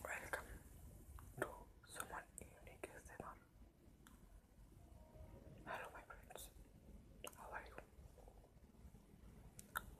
Welcome to Suman Evening ASMR. Hello, my friends. How are you?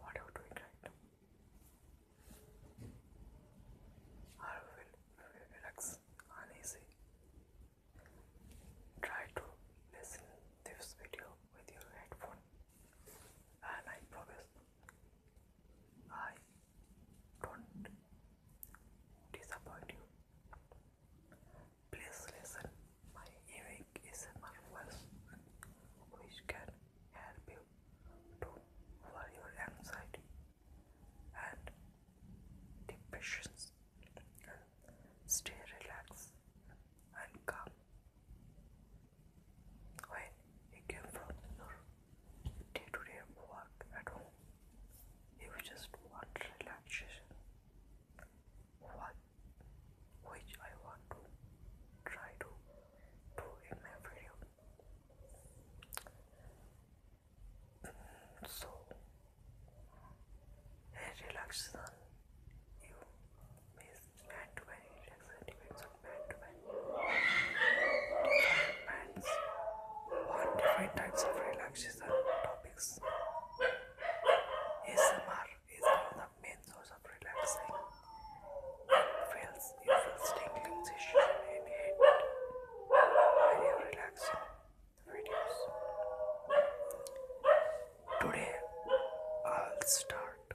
What are you doing right now? Are you feeling relaxed Try to listen this video with your headphone and I promise I don't disappoint you. Please listen, my earring is my voice which can help you to lower your anxiety and depressions and stay relaxed and calm when he came from your day-to-day work at home. You just want relaxation, what, which I want to try to do in my video. Mm, so, a relaxation you may Matte wear relaxer depends on matte wear. Different mattes want different types of relaxation topics. ASMR is one of the main source of relaxing. It feels you feel tingling sensation in head when you relax videos. Today I'll start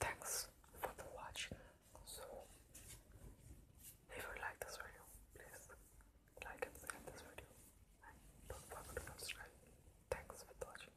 Thanks for watching. So, if you like this video, please like and share this video, don't forget to subscribe. Thanks for watching.